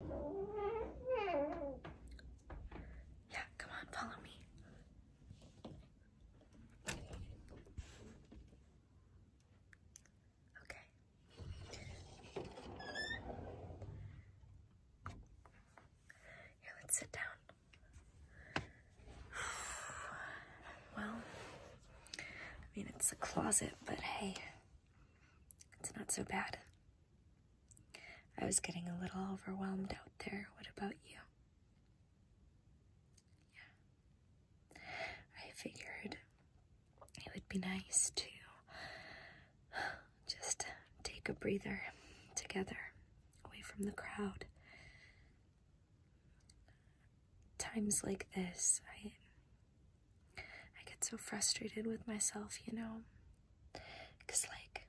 Yeah, come on, follow me. Okay. Here, let's sit down. Well, I mean, it's a closet, but hey, it's not so bad. I was getting a little overwhelmed out there. What about you? Yeah. I figured it would be nice to just take a breather together away from the crowd. Times like this, I I get so frustrated with myself, you know? Because, like,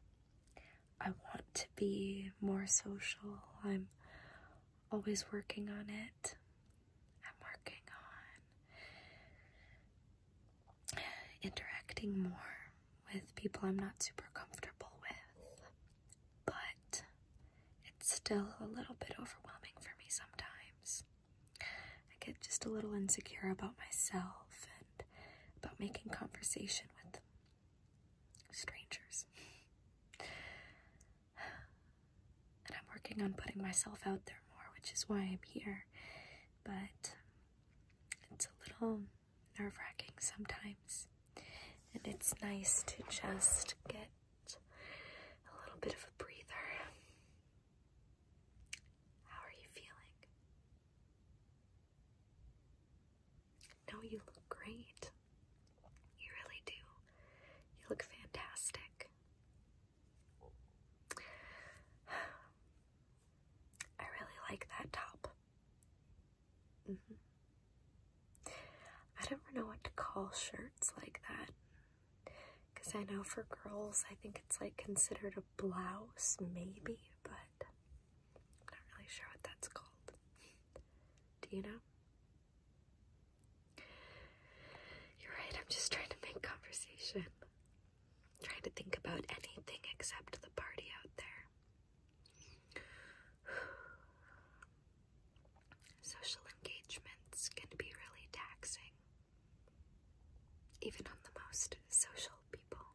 I want to be more social. I'm always working on it. I'm working on interacting more with people I'm not super comfortable with. But it's still a little bit overwhelming for me sometimes. I get just a little insecure about myself and about making conversation with strangers. and I'm working on putting myself out there more, which is why I'm here. But it's a little nerve wracking sometimes. And it's nice to just get a little bit of a breather how are you feeling? No, you look great. You really do. You look fantastic. I really like that top. Mm-hmm. I don't know what to call shirts like that. Because I know for girls, I think it's like considered a blouse, maybe, but I'm not really sure what that's called. Do you know? You're right, I'm just trying to make conversation. trying to think about anything except the party out there. Social engagements can be really taxing, even on the most social people,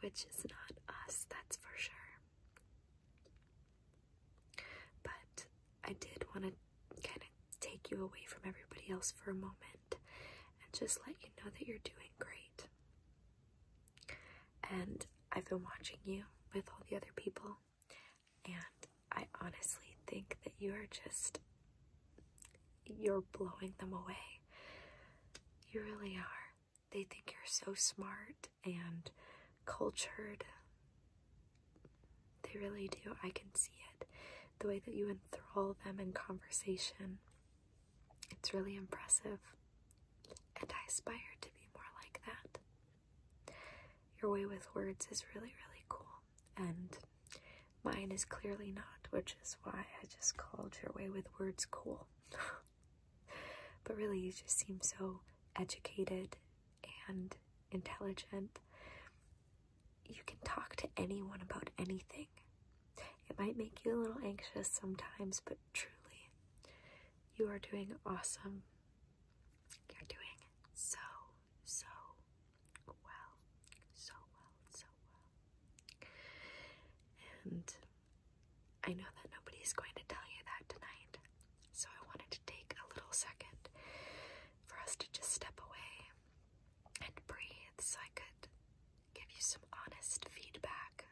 which is not us, that's for sure. But I did want to kind of take you away from everybody else for a moment and just let you know that you're doing great. And I've been watching you with all the other people, and I honestly think that you are just, you're blowing them away. You really are. They think you're so smart and cultured. They really do. I can see it. The way that you enthrall them in conversation. It's really impressive. And I aspire to be more like that. Your way with words is really, really cool, and mine is clearly not, which is why I just called your way with words cool. but really, you just seem so educated and intelligent. You can talk to anyone about anything. It might make you a little anxious sometimes, but truly, you are doing awesome. You're doing so, so well. So well, so well. And I know that nobody's going to tell you that tonight, so I wanted to take a little second for us to just step away and breathe so I could give you some honest feedback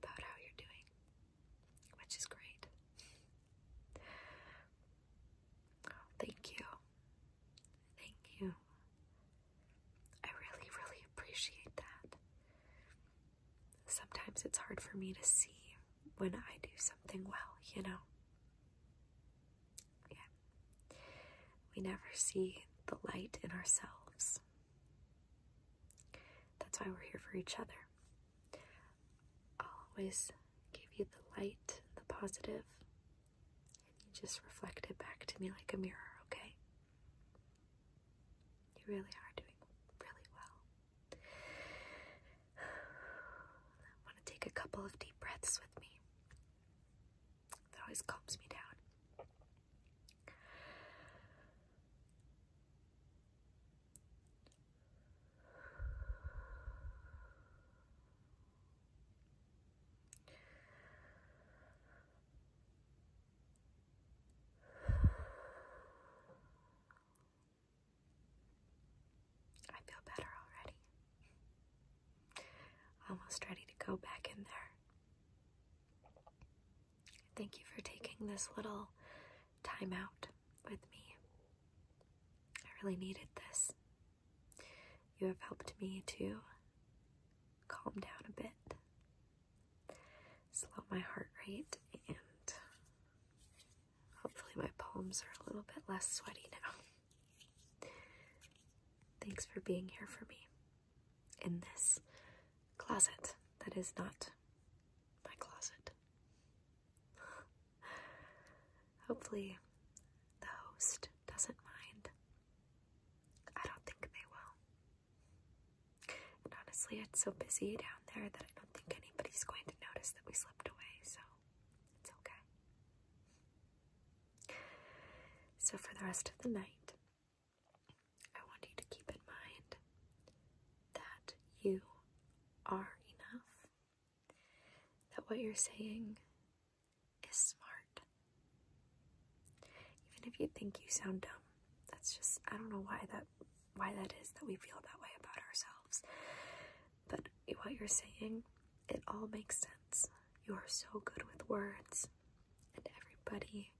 about how you're doing which is great. thank you. Thank you. I really, really appreciate that. Sometimes it's hard for me to see when I do something well, you know? Yeah. We never see the light in ourselves. That's why we're here for each other. I'll always give you the light, the positive, and you just reflect it back to me like a mirror, okay? You really are doing really well. I want to take a couple of deep breaths with me. That always calms me down. I feel better already. Almost ready to go back in there. Thank you for taking this little time out with me. I really needed this. You have helped me to calm down a bit, slow my heart rate, and hopefully my palms are a little bit less sweaty now. Thanks for being here for me in this closet that is not my closet. Hopefully, the host doesn't mind. I don't think they will. honestly, it's so busy down there that I don't think anybody's going to notice that we slipped away, so it's okay. So, for the rest of the night, I want you to keep in mind that you are enough, that what you're saying is smart. Even if you think you sound dumb, that's just, I don't know why that. Why that is that we feel that way about ourselves. But what you're saying, it all makes sense. You are so good with words and everybody,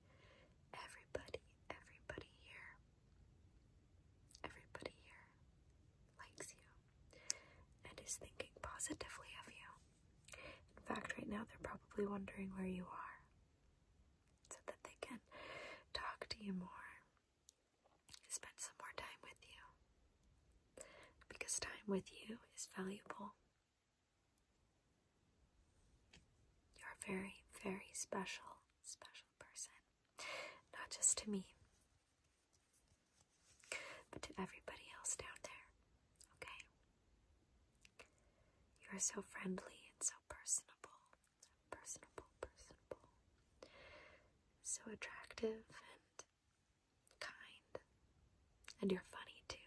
everybody, everybody here, everybody here likes you and is thinking positively of you. In fact, right now they're probably wondering where you are so that they can talk to you more, spend some more time with you because time with you is valuable. You're a very, very special, special person. Not just to me, but to everybody else down there, okay? You are so friendly and so personable. Personable, personable. So attractive and kind, and you're funny too.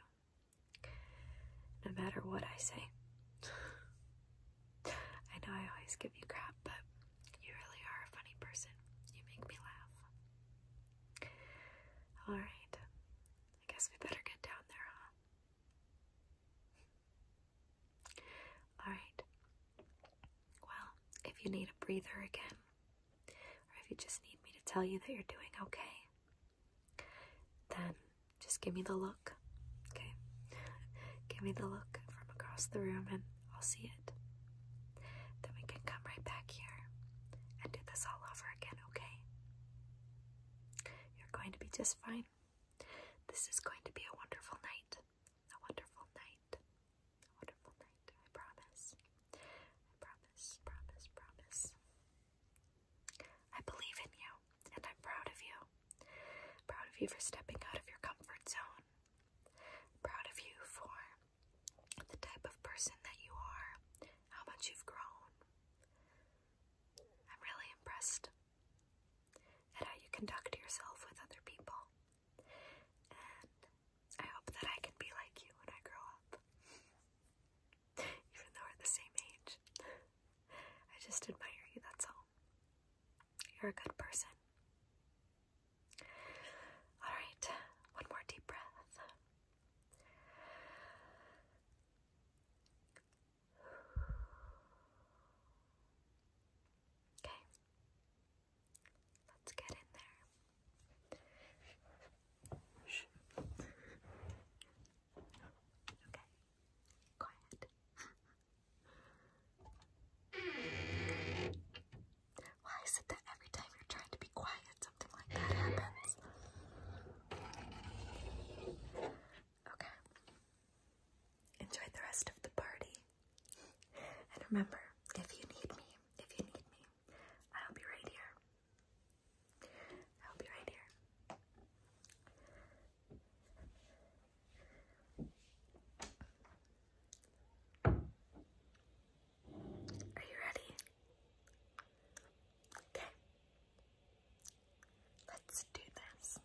No matter what I say. I know I always give you crap, but you really are a funny person. You make me laugh. Alright, I guess we better get down there, huh? Alright. Well, if you need a breather again, or if you just need me to tell you that you're doing okay, then just give me the look, okay? give me the look from across the room and I'll see it. Then we can come right back here and do this all over again, okay? You're going to be just fine. This is going to be a wonderful night. A wonderful night wonderful night. I promise. I promise, promise, promise. I believe in you, and I'm proud of you. Proud of you for stepping out of your comfort zone. Proud of you for the type of person that you are, how much you've grown. I'm really impressed at how you conduct yourself with other people. I hope that I can be like you when I grow up. Even though we're the same age. I just admire you, that's all. You're a good person. Alright, one more deep breath. Okay. Let's get in there. okay, quiet. Why is that every time you're trying to be quiet, something like that happens? Okay enjoy the rest of the party. And remember, if you need me, if you need me, I'll be right here. I'll be right here. Are you ready? Okay. Let's do this.